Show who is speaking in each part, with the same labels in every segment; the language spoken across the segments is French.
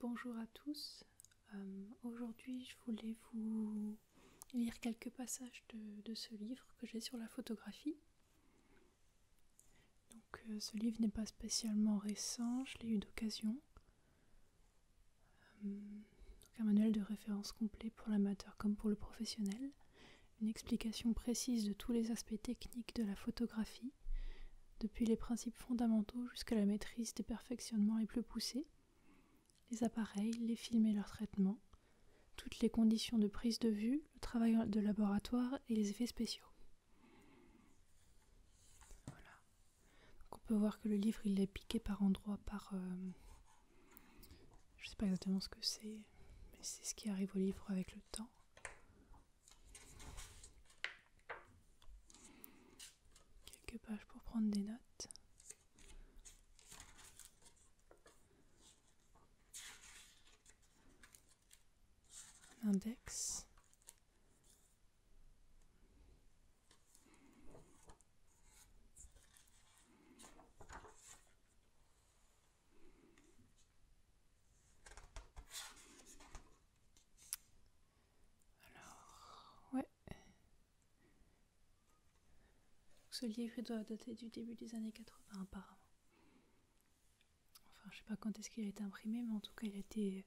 Speaker 1: Bonjour à tous. Euh, aujourd'hui, je voulais vous lire quelques passages de, ce livre que j'ai sur la photographie. Donc, euh, ce livre n'est pas spécialement récent, je l'ai eu d'occasion. Euh, un manuel de référence complet pour l'amateur comme pour le professionnel, une explication précise de tous les aspects techniques de la photographie, depuis les principes fondamentaux jusqu'à la maîtrise des perfectionnements les plus poussés, les appareils, les films et leur traitement, toutes les conditions de prise de vue, le travail de laboratoire et les effets spéciaux. Voilà. on peut voir que le livre il est piqué par endroits par euh, je ne sais pas exactement ce que c'est, mais c'est ce qui arrive au livre avec le temps. Quelques pages pour prendre des notes. Un index. Alors, ouais. Ce livre doit dater du début des années 80 apparemment. Enfin, je ne sais pas quand est-ce qu'il a été imprimé, mais en tout cas, il a été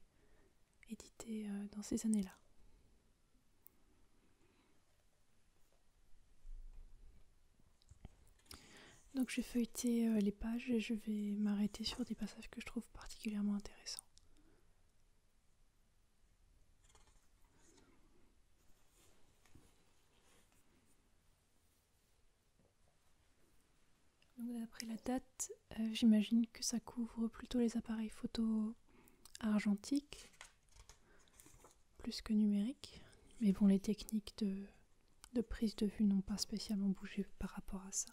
Speaker 1: édité euh, dans ces années-là. Donc je vais feuilleter euh, les pages et je vais m'arrêter sur des passages que je trouve particulièrement intéressants. D'après la date, euh, j'imagine que ça couvre plutôt les appareils photo argentiques plus que numérique. Mais bon, les techniques de, prise de vue n'ont pas spécialement bougé par rapport à ça.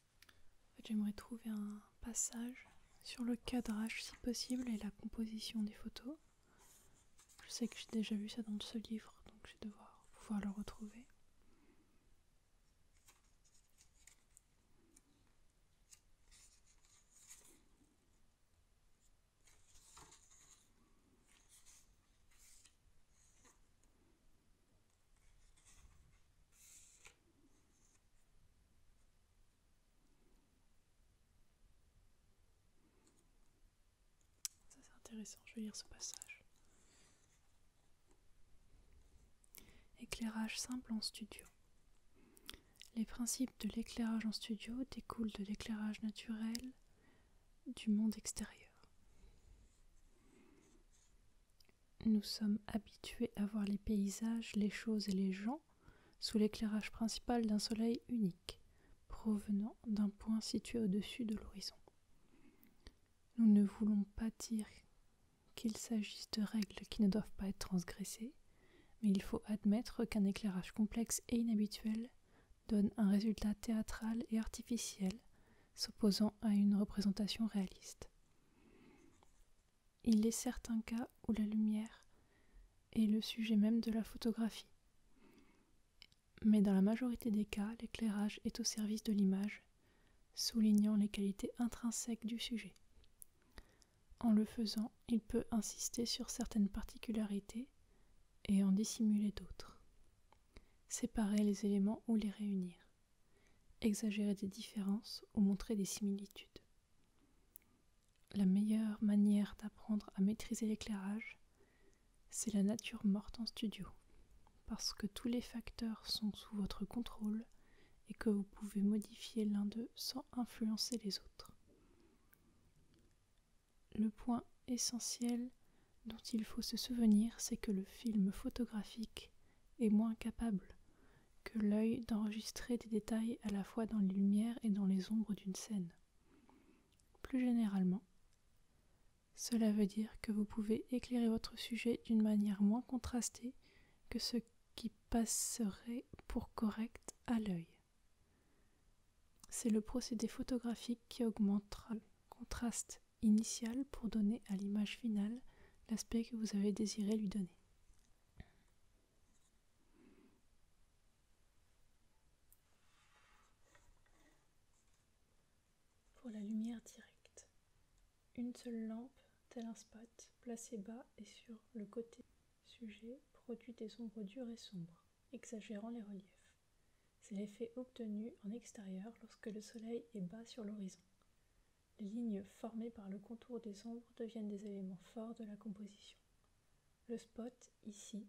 Speaker 1: J'aimerais trouver un passage sur le cadrage si possible et la composition des photos. Je sais que j'ai déjà vu ça dans ce livre, donc je vais devoir pouvoir le retrouver. Ça c'est intéressant, je vais lire ce passage. Éclairage simple en studio. Les principes de l'éclairage en studio découlent de l'éclairage naturel du monde extérieur. Nous sommes habitués à voir les paysages, les choses et les gens sous l'éclairage principal d'un soleil unique, provenant d'un point situé au-dessus de l'horizon. Nous ne voulons pas dire qu'il s'agisse de règles qui ne doivent pas être transgressées, mais il faut admettre qu'un éclairage complexe et inhabituel donne un résultat théâtral et artificiel, s'opposant à une représentation réaliste. Il est certains cas où la lumière est le sujet même de la photographie. Mais dans la majorité des cas, l'éclairage est au service de l'image, soulignant les qualités intrinsèques du sujet. En le faisant, il peut insister sur certaines particularités et en dissimuler d'autres. Séparer les éléments ou les réunir exagérer des différences ou montrer des similitudes. La meilleure manière d'apprendre à maîtriser l'éclairage, c'est la nature morte en studio, parce que tous les facteurs sont sous votre contrôle et que vous pouvez modifier l'un d'eux sans influencer les autres. Le point essentiel dont il faut se souvenir, c'est que le film photographique est moins capable que l'œil d'enregistrer des détails à la fois dans les lumières et dans les ombres d'une scène. Plus généralement, cela veut dire que vous pouvez éclairer votre sujet d'une manière moins contrastée que ce qui passerait pour correct à l'œil. C'est le procédé photographique qui augmentera le contraste initial pour donner à l'image finale l'aspect que vous avez désiré lui donner. Pour la lumière directe, une seule lampe, telle un spat, placée bas et sur le côté sujet, produit des ombres dures et sombres, exagérant les reliefs. C'est l'effet obtenu en extérieur lorsque le soleil est bas sur l'horizon. Les lignes formées par le contour des ombres deviennent des éléments forts de la composition. Le spot, ici,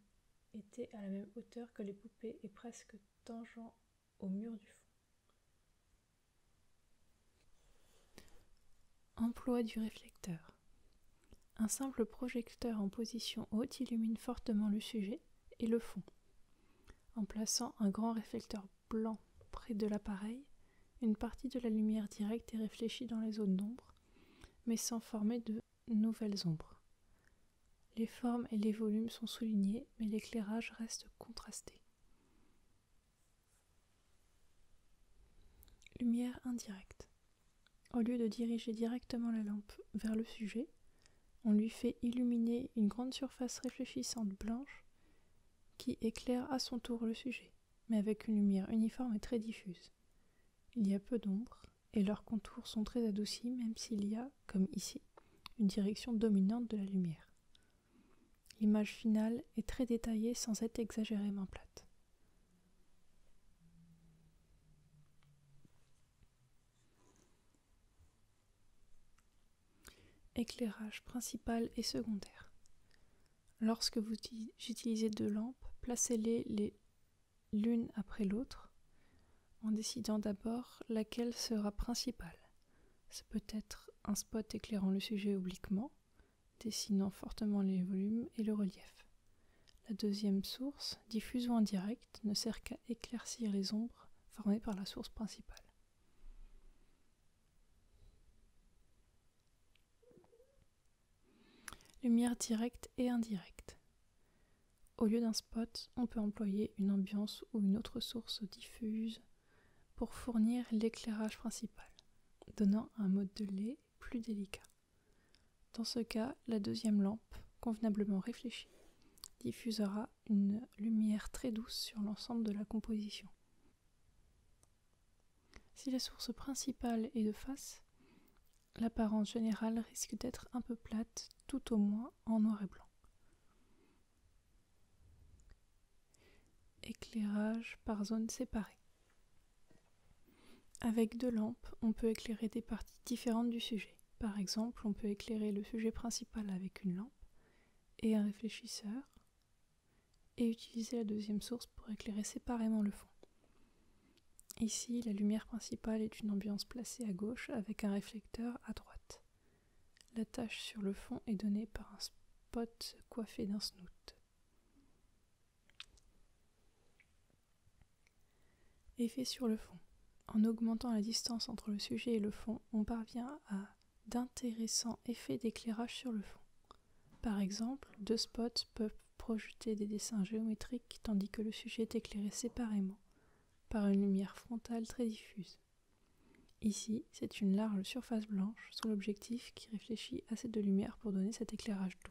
Speaker 1: était à la même hauteur que les poupées et presque tangent au mur du fond. Emploi du réflecteur. Un simple projecteur en position haute illumine fortement le sujet et le fond, en plaçant un grand réflecteur blanc près de l'appareil, une partie de la lumière directe est réfléchie dans les zones d'ombre, mais sans former de nouvelles ombres. Les formes et les volumes sont soulignés, mais l'éclairage reste contrasté. Lumière indirecte. Au lieu de diriger directement la lampe vers le sujet, on lui fait illuminer une grande surface réfléchissante blanche qui éclaire à son tour le sujet, mais avec une lumière uniforme et très diffuse. Il y a peu d'ombres et leurs contours sont très adoucis, même s'il y a, comme ici, une direction dominante de la lumière. L'image finale est très détaillée sans être exagérément plate. Éclairage principal et secondaire. Lorsque vous utilisez deux lampes, placez-les l'une après l'autre en décidant d'abord laquelle sera principale. Ce peut être un spot éclairant le sujet obliquement, dessinant fortement les volumes et le relief. La deuxième source, diffuse ou indirecte, ne sert qu'à éclaircir les ombres formées par la source principale. Lumière directe et indirecte. Au lieu d'un spot, on peut employer une ambiance ou une autre source diffuse pour fournir l'éclairage principal, donnant un mode de lait plus délicat. Dans ce cas, la deuxième lampe, convenablement réfléchie, diffusera une lumière très douce sur l'ensemble de la composition. Si la source principale est de face, l'apparence générale risque d'être un peu plate, tout au moins en noir et blanc. Éclairage par zone séparée. Avec deux lampes, on peut éclairer des parties différentes du sujet. Par exemple, on peut éclairer le sujet principal avec une lampe et un réfléchisseur et utiliser la deuxième source pour éclairer séparément le fond. Ici, la lumière principale est une ambiance placée à gauche avec un réflecteur à droite. La tache sur le fond est donnée par un spot coiffé d'un snoot. Effet sur le fond. En augmentant la distance entre le sujet et le fond, on parvient à d'intéressants effets d'éclairage sur le fond. Par exemple, deux spots peuvent projeter des dessins géométriques tandis que le sujet est éclairé séparément par une lumière frontale très diffuse. Ici, c'est une large surface blanche sous l'objectif qui réfléchit assez de lumière pour donner cet éclairage doux.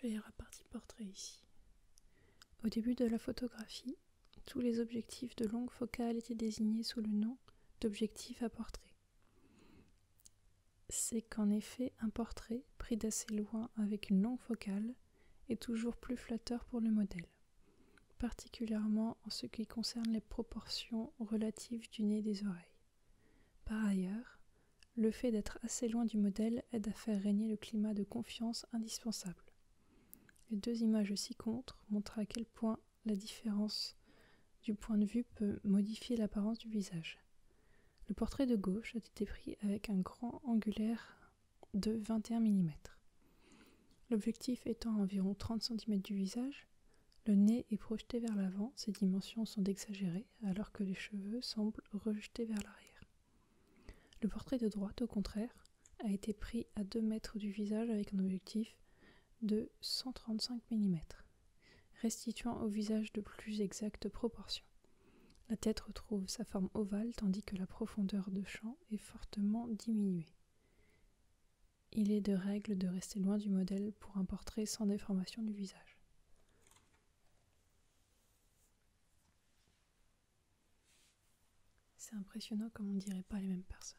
Speaker 1: Je vais partie portrait ici. Au début de la photographie, tous les objectifs de longue focale étaient désignés sous le nom d'objectifs à portrait. C'est qu'en effet, un portrait pris d'assez loin avec une longue focale est toujours plus flatteur pour le modèle particulièrement en ce qui concerne les proportions relatives du nez et des oreilles. Par ailleurs, le fait d'être assez loin du modèle aide à faire régner le climat de confiance indispensable. Les deux images ci-contre montrent à quel point la différence du point de vue peut modifier l'apparence du visage. Le portrait de gauche a été pris avec un grand angulaire de 21 mm, L'objectif étant à environ 30 cm du visage, le nez est projeté vers l'avant, ses dimensions sont exagérées, alors que les cheveux semblent rejetés vers l'arrière. Le portrait de droite, au contraire, a été pris à 2 mètres du visage avec un objectif de 135 mm, restituant au visage de plus exactes proportions. La tête retrouve sa forme ovale tandis que la profondeur de champ est fortement diminuée. Il est de règle de rester loin du modèle pour un portrait sans déformation du visage. C'est impressionnant comme on ne dirait pas les mêmes personnes.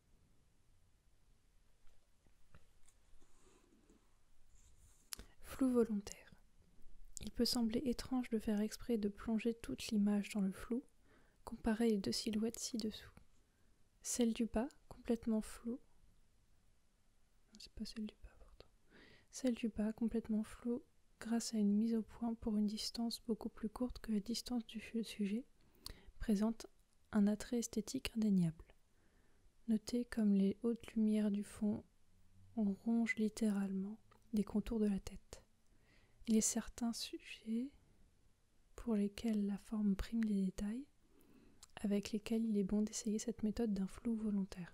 Speaker 1: Flou volontaire. Il peut sembler étrange de faire exprès de plonger toute l'image dans le flou, comparé les deux silhouettes ci-dessous. Celle du bas, complètement floue. C'est celle du bas, Celle du bas, complètement floue, grâce à une mise au point pour une distance beaucoup plus courte que la distance du sujet, présente un attrait esthétique indéniable. Notez comme les hautes lumières du fond rongent littéralement les contours de la tête. Il est certains sujets pour lesquels la forme prime les détails, avec lesquels il est bon d'essayer cette méthode d'un flou volontaire.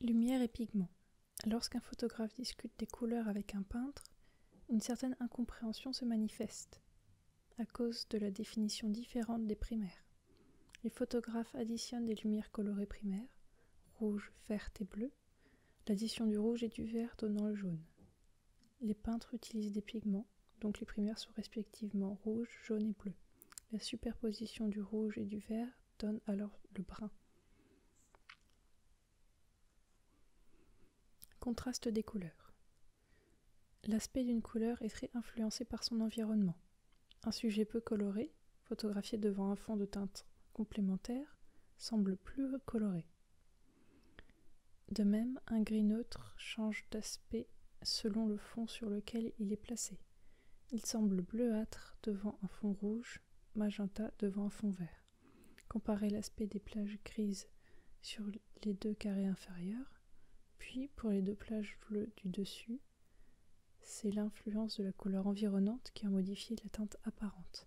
Speaker 1: Lumière et pigments. Lorsqu'un photographe discute des couleurs avec un peintre, une certaine incompréhension se manifeste à cause de la définition différente des primaires. Les photographes additionnent des lumières colorées primaires, rouge, vert et bleu, l'addition du rouge et du vert donnant le jaune. Les peintres utilisent des pigments, donc les primaires sont respectivement rouge, jaune et bleu. La superposition du rouge et du vert donne alors le brun. Contraste des couleurs. L'aspect d'une couleur est très influencé par son environnement. Un sujet peu coloré, photographié devant un fond de teinte complémentaire, semble plus coloré. De même, un gris neutre change d'aspect selon le fond sur lequel il est placé. Il semble bleuâtre devant un fond rouge, magenta devant un fond vert. Comparez l'aspect des plages grises sur les deux carrés inférieurs, puis pour les deux plages bleues du dessus, c'est l'influence de la couleur environnante qui a modifié la teinte apparente.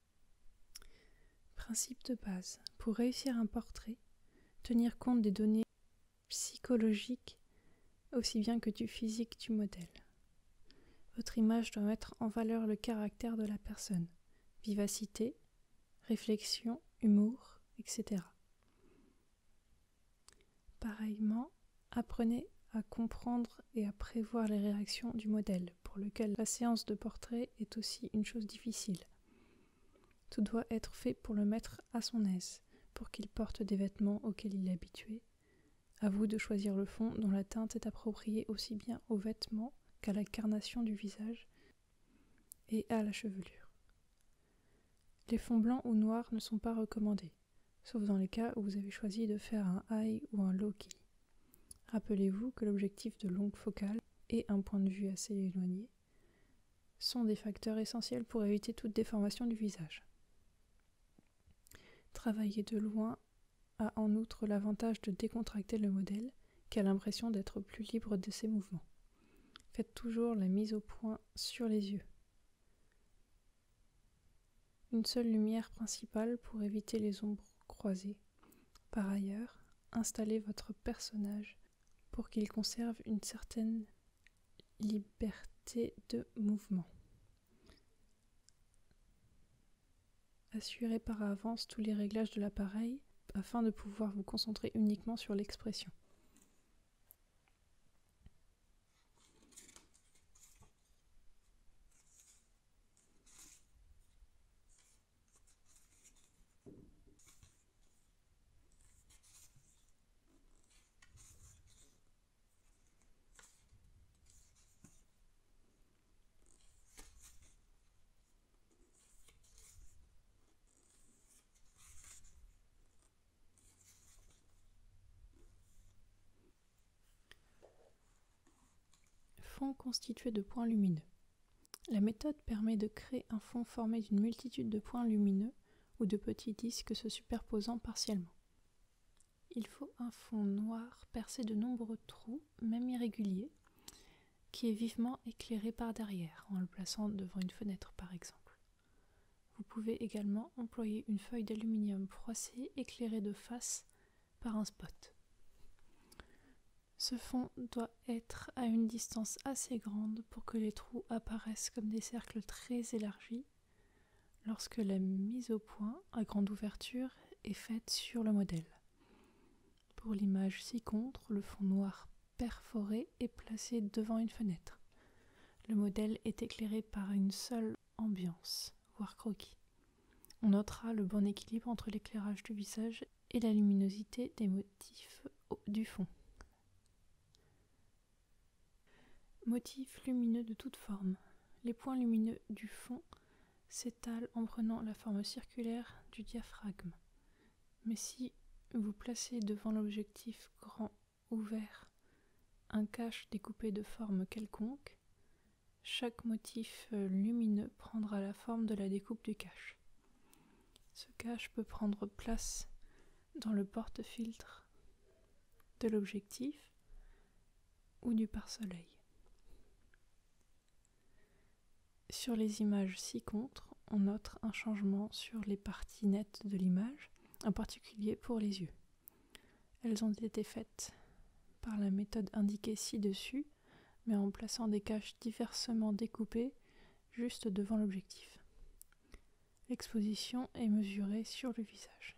Speaker 1: Principe de base. Pour réussir un portrait, tenir compte des données psychologiques aussi bien que du physique du modèle. Votre image doit mettre en valeur le caractère de la personne, vivacité, réflexion, humour, etc. Pareillement, apprenez à comprendre et à prévoir les réactions du modèle pour lequel la séance de portrait est aussi une chose difficile. Tout doit être fait pour le mettre à son aise, pour qu'il porte des vêtements auxquels il est habitué. À vous de choisir le fond dont la teinte est appropriée aussi bien aux vêtements qu'à la carnation du visage et à la chevelure. Les fonds blancs ou noirs ne sont pas recommandés, sauf dans les cas où vous avez choisi de faire un high ou un low key. Rappelez-vous que l'objectif de longue focale et un point de vue assez éloigné sont des facteurs essentiels pour éviter toute déformation du visage. Travailler de loin a en outre l'avantage de décontracter le modèle qui a l'impression d'être plus libre de ses mouvements. Faites toujours la mise au point sur les yeux. Une seule lumière principale pour éviter les ombres croisées. Par ailleurs, installez votre personnage pour qu'il conserve une certaine liberté de mouvement. Assurez par avance tous les réglages de l'appareil afin de pouvoir vous concentrer uniquement sur l'expression. Fond constitué de points lumineux. La méthode permet de créer un fond formé d'une multitude de points lumineux ou de petits disques se superposant partiellement. Il faut un fond noir percé de nombreux trous, même irréguliers, qui est vivement éclairé par derrière en le plaçant devant une fenêtre par exemple. Vous pouvez également employer une feuille d'aluminium froissée éclairée de face par un spot. Ce fond doit être à une distance assez grande pour que les trous apparaissent comme des cercles très élargis lorsque la mise au point à grande ouverture est faite sur le modèle. Pour l'image ci-contre, le fond noir perforé est placé devant une fenêtre. Le modèle est éclairé par une seule ambiance, voire croquis. On notera le bon équilibre entre l'éclairage du visage et la luminosité des motifs du fond. Motifs lumineux de toute forme. Les points lumineux du fond s'étalent en prenant la forme circulaire du diaphragme. Mais si vous placez devant l'objectif grand ouvert un cache découpé de forme quelconque, chaque motif euh, lumineux prendra la forme de la découpe du cache. Ce cache peut prendre place dans le porte-filtre de l'objectif ou du pare-soleil. Sur les images ci-contre, on note un changement sur les parties nettes de l'image, en particulier pour les yeux. Elles ont été faites par la méthode indiquée ci-dessus mais en plaçant des caches diversement découpées juste devant l'objectif. L'exposition est mesurée sur le visage.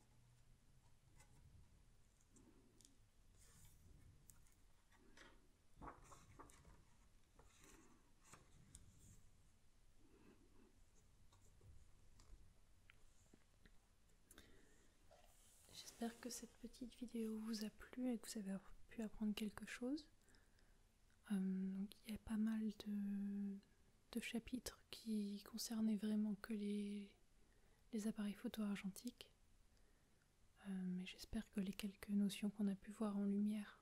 Speaker 1: J'espère que cette petite vidéo vous a plu et que vous avez pu apprendre quelque chose. Euh, il y a pas mal de, de chapitres qui concernaient vraiment que les les appareils photo argentiques. Euh, mais j'espère que les quelques notions qu'on a pu voir en lumière,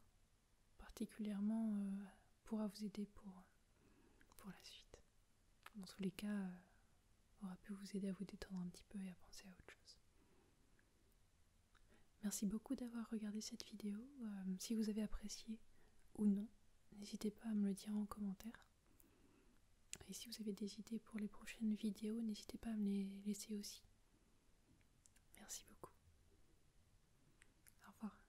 Speaker 1: particulièrement, euh, pourra vous aider pour, la suite. Dans tous les cas, euh, aura pu vous aider à vous détendre un petit peu et à penser à autre chose. Merci beaucoup d'avoir regardé cette vidéo. si vous avez apprécié ou non, n'hésitez pas à me le dire en commentaire. Et si vous avez des idées pour les prochaines vidéos, n'hésitez pas à me les laisser aussi. Merci beaucoup. Au revoir.